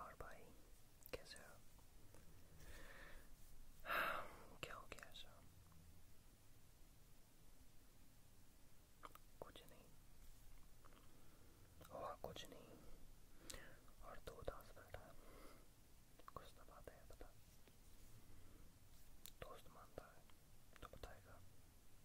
और भाई कैसे हो क्या हो गया ऐसा कुछ नहीं हुआ कुछ नहीं और दो दास बैठा कुछ तो बात है पता दोस्त मानता है तो बताएगा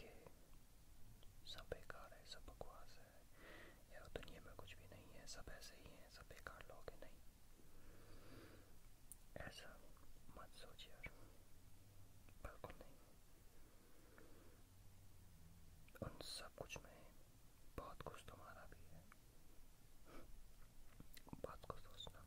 कि सब बेकार है सब बकवास है या दुनिया में कुछ भी नहीं है सब ऐसे ही हैं सब बेकार लोग हैं नहीं ऐसा मत सोचिए यार बिल्कुल नहीं उन सब कुछ में बहुत कुछ तुम्हारा भी है बहुत कुछ सोचना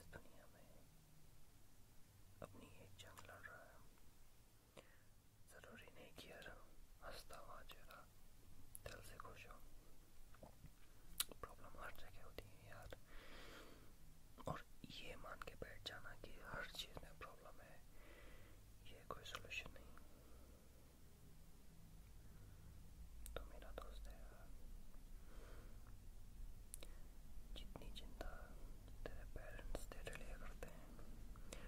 इस दुनिया में अपनी एक जंग लड़ रहा है ज़रूरी नहीं कि हर हंसता हुआ चेहरा दिल से खुश हो प्रॉब्लम हर जगह होती है यार और ये मान के बैठ जाना कि हर चीज़ में प्रॉब्लम है ये कोई सोल्यूशन नहीं तो मेरा दोस्त है जितनी चिंता तेरे पेरेंट्स तेरे लिए करते हैं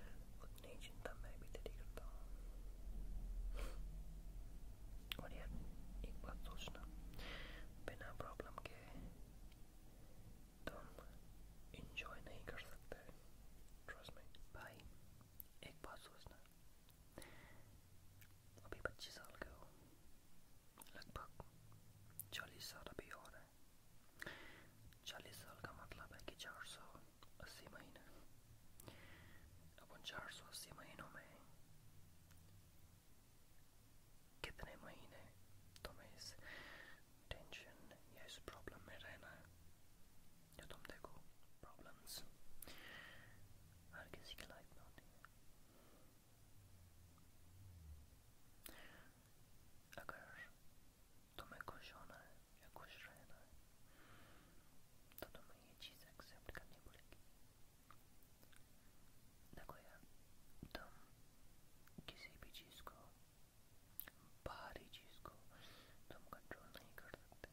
उतनी चिंता मैं भी तेरी करता हूँ और यार एक बात सोचना बिना प्रॉब्लम के तुम इंजॉय नहीं कर सकते ट्रस्ट में भाई एक बात सोचना अभी पच्चीस साल के हो लगभग चालीस साल अभी और है चालीस साल का मतलब है कि चार सौ अस्सी महीने अब उन चार सौ अस्सी महीनों में कितने महीने तुम्हें इस टेंशन या इस प्रॉब्लम में रहना है जो तुम देखो प्रॉब्लम्स हर किसी की लाइफ में होती है अगर तुम्हें खुश होना है या खुश रहना है तो तुम्हें ये चीज़ एक्सेप्ट करनी पड़ेगी देखो यार तुम किसी भी चीज़ को बाहरी चीज़ को तुम कंट्रोल नहीं कर सकते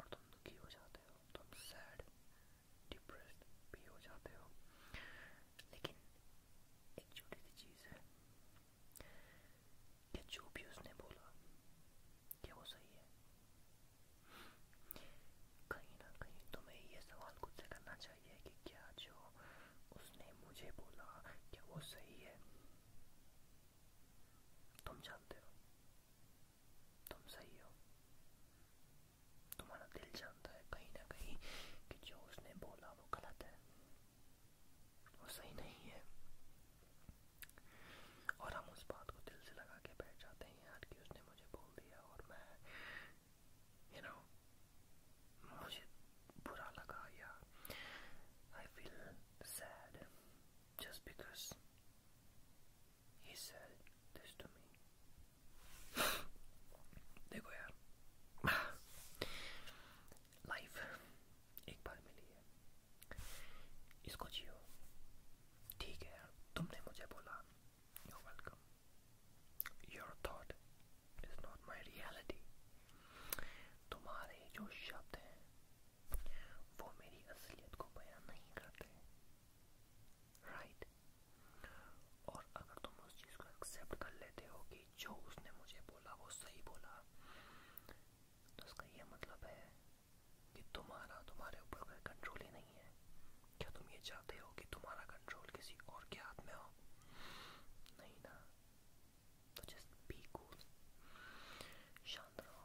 और तुम दुखी हो जाते हो तुम सैड डिप्रेस्ड भी हो जाते हो लेकिन एक छोटी सी चीज़ है कि जो भी उसने बोला क्या वो सही है कहीं ना कहीं तुम्हें ये सवाल खुद से करना चाहिए कि क्या जो उसने मुझे बोला क्या वो सही है तुम जानते हो तुम सही हो तुम्हारा दिल जानता है कहीं ना कहीं कि जो उसने बोला वो गलत है वो सही नहीं है और हम उस बात को दिल से लगा के बैठ जाते हैं यार कि उसने मुझे बोल दिया और मैं यू you नो know, मुझे बुरा लगा या I feel sad just because He said this to me. देखो यार लाइफ एक बार मिली है इसको जियो ठीक है यार तुमने मुझे बोला you welcome your thought is not my reality तुम्हारे जो शब्द हैं वो मेरी असलियत को बयान नहीं करते राइट right? और अगर तुम उस चीज़ को एक्सेप्ट कर लेते हो कि जो उसने मुझे बोला वो सही बोला तो उसका ये मतलब है कि तुम्हारा तुम्हारे ऊपर कोई कंट्रोल ही नहीं है क्या तुम ये चाहते हो कि तुम्हारा कंट्रोल किसी और के हाथ में हो नहीं ना तो जस्ट बी कूल शांत रहो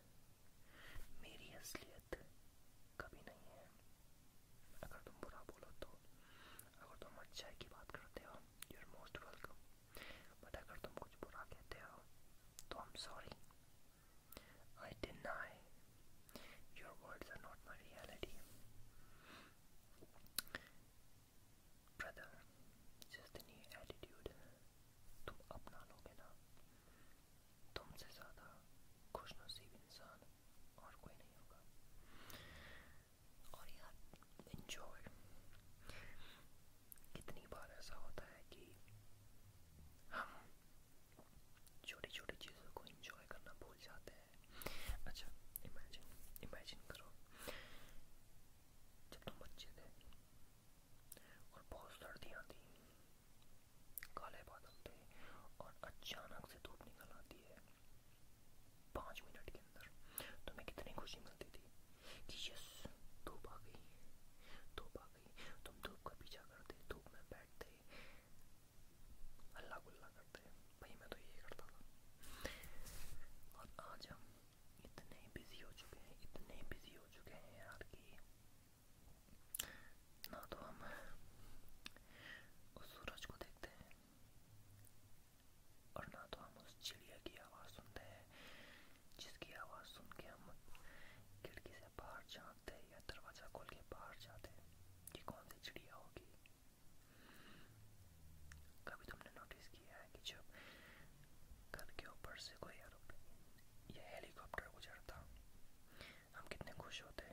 मेरी असलियत कभी नहीं है अगर तुम बुरा बोलो तो अगर तुम अच्छाई की बात करते हो you are most welcome but अगर तुम कुछ बुरा कहते हो तो I am sorry I deny your words are not my reality brother जिस दिन ये एटीट्यूड तुम अपना लोगे ना तुमसे ज़्यादा खुशनसीब इंसान और कोई नहीं होगा और यार इन्जॉय कितनी बार ऐसा होता है कि हम छोटी छोटी चीज़ों को इन्जॉय करना भूल जाते हैं अच्छा इमेजिन इमेजिन करो जब तुम बच्चे थे और बहुत सर्दी आती है काले बादल थे और अचानक से धूप निकल आती है पाँच मिनट के अंदर तुम्हें तो कितनी खुशी मिलती थी कि यस धूप आ गई धूप आ गई तुम धूप का पीछा करते धूप में बैठते हल्ला गुल्ला करते भाई मैं तो ये करता था और आज हम इतने बिजी हो चुके हैं इतने बिजी हो चुके हैं यार कि ना तो हम उस सूरज को देखते हैं और ना तो हम उस चिड़िया की आवाज़ सुनते हैं जिसकी आवाज़ सुन के हम खिड़की से बाहर झाँकते हैं या दरवाज़ा खोल के बाहर जाते हैं कि कौन सी चिड़िया होगी कभी तुमने नोटिस किया है कि जब घर के ऊपर से कोई एरोप्लेन या हेलीकॉप्टर गुजरता हम कितने खुश होते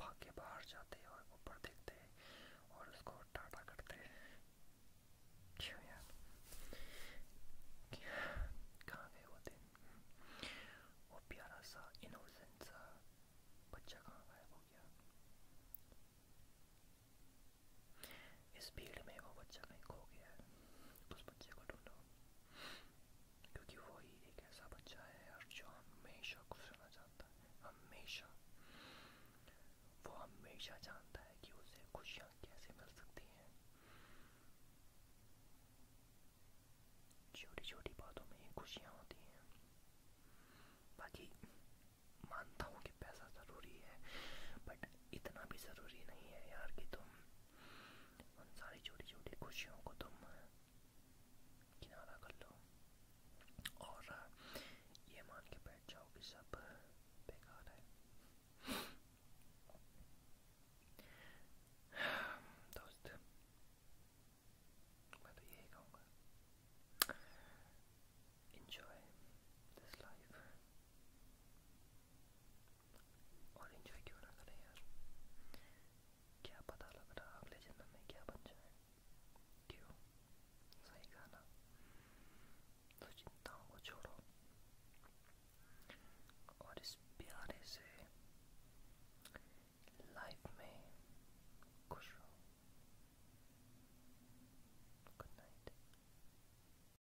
भाग के बाहर जाते और ऊपर देखते और उसको टाटा करते क्यों यार कहाँ गए वो दिन वो प्यारा सा इनोसेंट सा बच्चा कहाँ गायब हो गया इस भीड़ में वो बच्चा कहीं खो गया है उस बच्चे को ढूंढो क्योंकि वो ही एक ऐसा बच्चा है और जो हमेशा खुश रहना चाहता है हमेशा वो हमेशा जानता है कि उसे खुशियाँ कैसे मिल सकती हैं छोटी छोटी बातों में ही खुशियाँ होती हैं बाकी मानता हूँ कि पैसा ज़रूरी है बट इतना भी ज़रूरी नहीं है यार कि तुम उन सारी छोटी छोटी खुशियों को तुम किनारा कर लो और ये मान के बैठ जाओ कि सब बेकार है दोस्त मैं तो यही कहूँगा enjoy this life और इन्जॉय क्यों ना करें यार क्या पता लग रहा अगले जन्म में क्या बन जाए क्यों सही गाना तो चिंताओं को छोड़ो और इस प्यारे से लाइफ में खुश रहो गुड नाइट